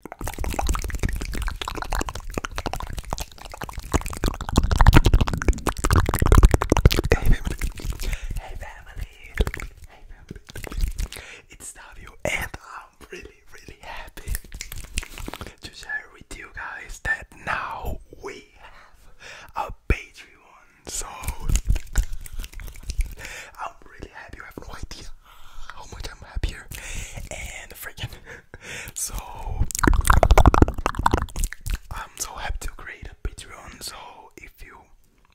Hey family, It's Davio and I'm really really happy to share with you guys that now we have a Patreon. So I'm really happy. You have no idea how much I'm happier and freaking so I'm so happy to create a Patreon. So if you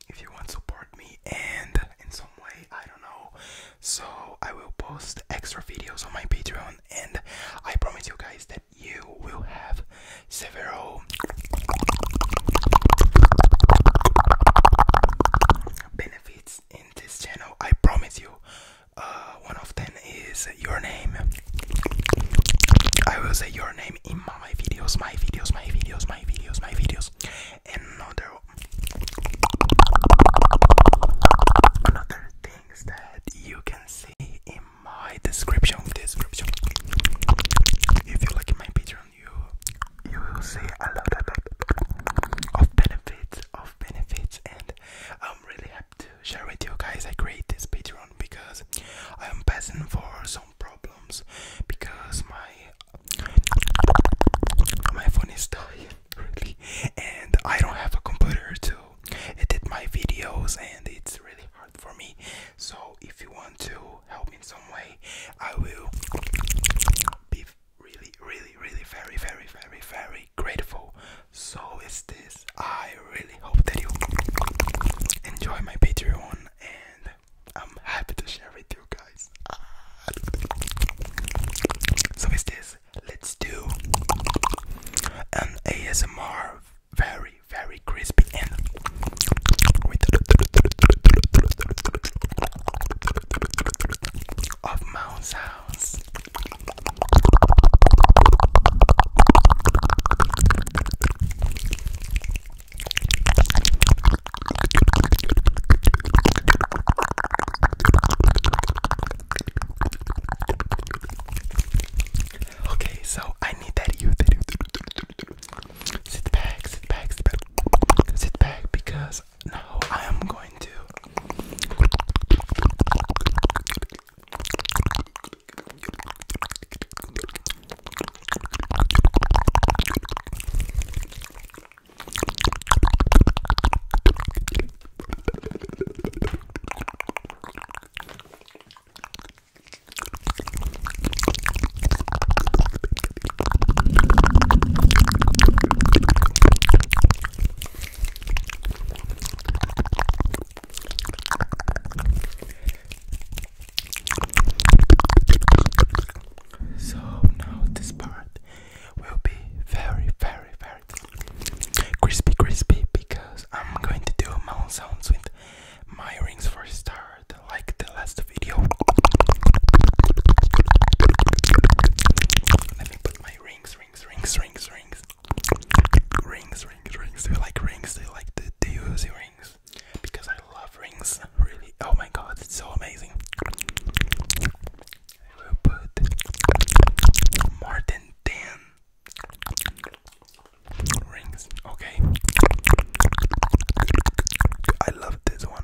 if you want to support me and in some way I don't know, so I will post extra videos on my Patreon and I promise you guys that you will have several benefits in this channel. I promise you, uh, one of them is your name. I will say your name in my videos, my videos, my videos, my videos, my videos. Another, another things that you can see in my description. Description. If you like my Patreon, you you will see a lot of, benefits, of benefits, and I'm really happy to share with you guys. I create this Patreon because I am passing for some problems because my my phone is dying really, and I don't have a computer to edit my videos, and it's really hard for me. So if you want to help me in some way, I will be really, really, really, very, very, very, very grateful. So is this. I really hope that you enjoy my Patreon, and I'm happy to share with you guys. So is this. Let's do an ASMR, very, very crispy and of Mount Sounds. Okay, so I need that you. Sit back, sit back, sit back, sit back because now I am going to so now this part will be very, very, very crispy, crispy because I'm going to do mouth sounds with my rings for start. Like the last video. Let me put my rings, rings, rings, rings, rings. Rings, rings, rings. Do you like rings? Do like the do rings? Because I love rings. Really. Oh my god, it's so amazing. I will put more than ten rings. Okay. I love this one.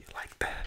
You like that?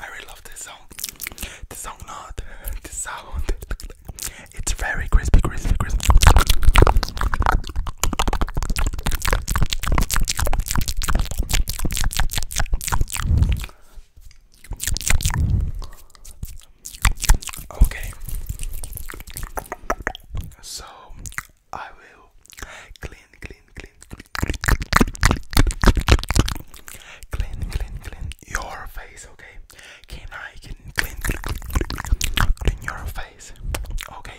I really love this song. The song, not the sound. It's very crispy, crispy, crispy. Okay, so I will clean, clean, clean, clean, clean, clean, your face. Okay? Can I clean your face? Okay.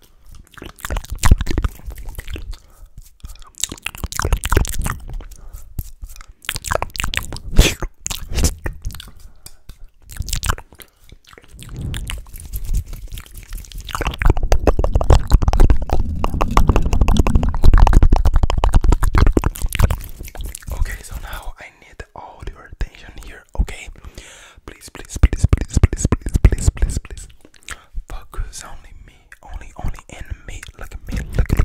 Okay, so now I need all your attention here, okay? Please, please, please, please, please, please, please, please, please. Focus only me, only, only in me. Look at me, look at me.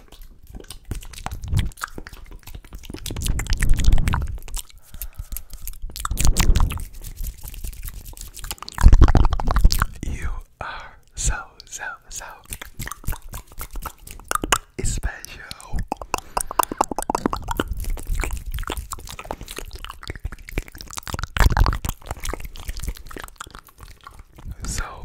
You are so, so, so special. So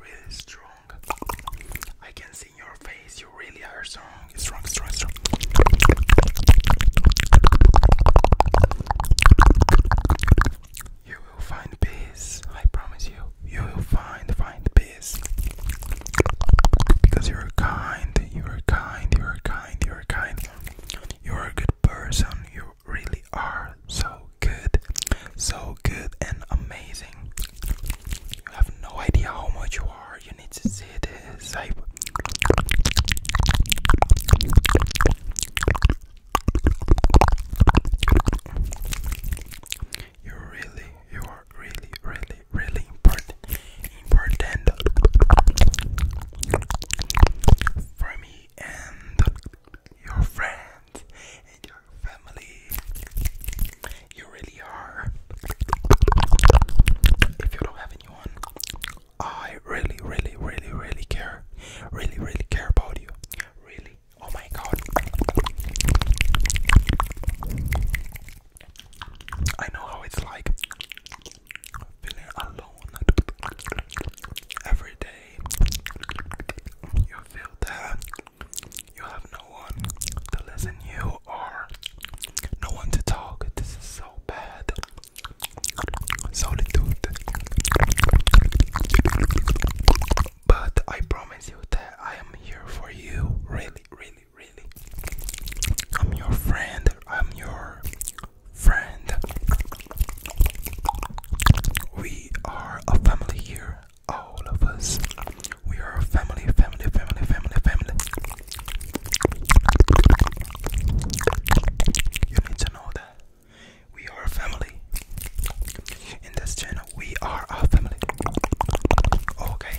really strong. I can see in your face you really are strong, strong, strong, strong. You will find peace. I promise you. You will find find peace. Because you're kind, you're kind, you're kind, you're kind. You're a good person. You really are so so good, so good and amazing. You have no idea how much you are. You need to see this. you really, you are really, really, really important, important for me and your friend and your family. You really are. If you don't have anyone, I really, really, really, really care. Really, really care about you. Really. Oh my god. I know how it's like feeling alone every day. You feel that you have no one to listen you or no one to talk. This is so bad. Solitude. But I promise you that I am here for you. Really, really, really. I'm your friend. I'm your friend. We are a family here all of us. We are a family, family, family, family, family. You need to know that we are a family. In this channel, we are a family. Okay.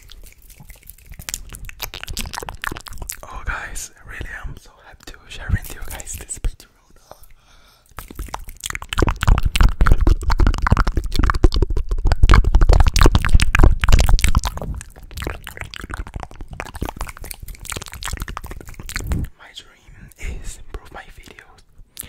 Oh guys, really I'm so happy to share with you guys this Patreon. My dream is improve my videos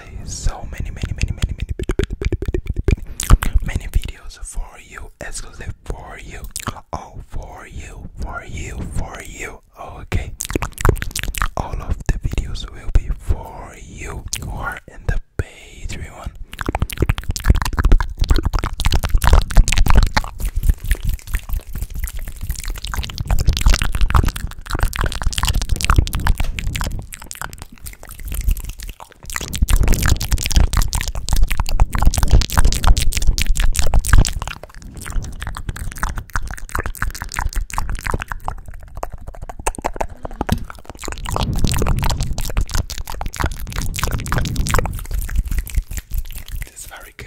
So many, many, many, many, many, many, videos for you, exclusive for you, all for you, for you, for you. Okay, all of the videos will be for you who are in the page, Patreon. This is very good.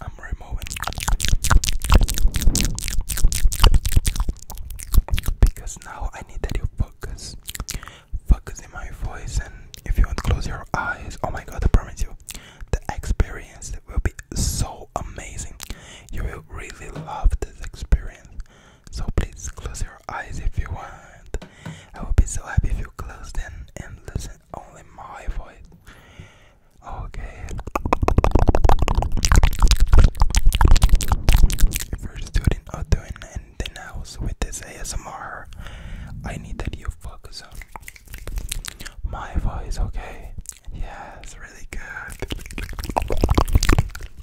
I'm removing because now I need that you focus, focus in my voice, and if you want close your eyes, oh my God, I promise you, the experience will be so amazing. You will really love this experience. So please close your eyes if you want. I will be so happy if you close them and listen only my voice. Okay. If you're student or doing anything else with this ASMR, I need that you focus on my voice, okay? Yeah, really good.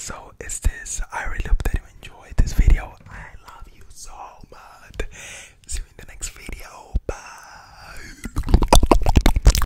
So it's this I really hope that you enjoyed this video. I love you so much. See you in the next video. Bye.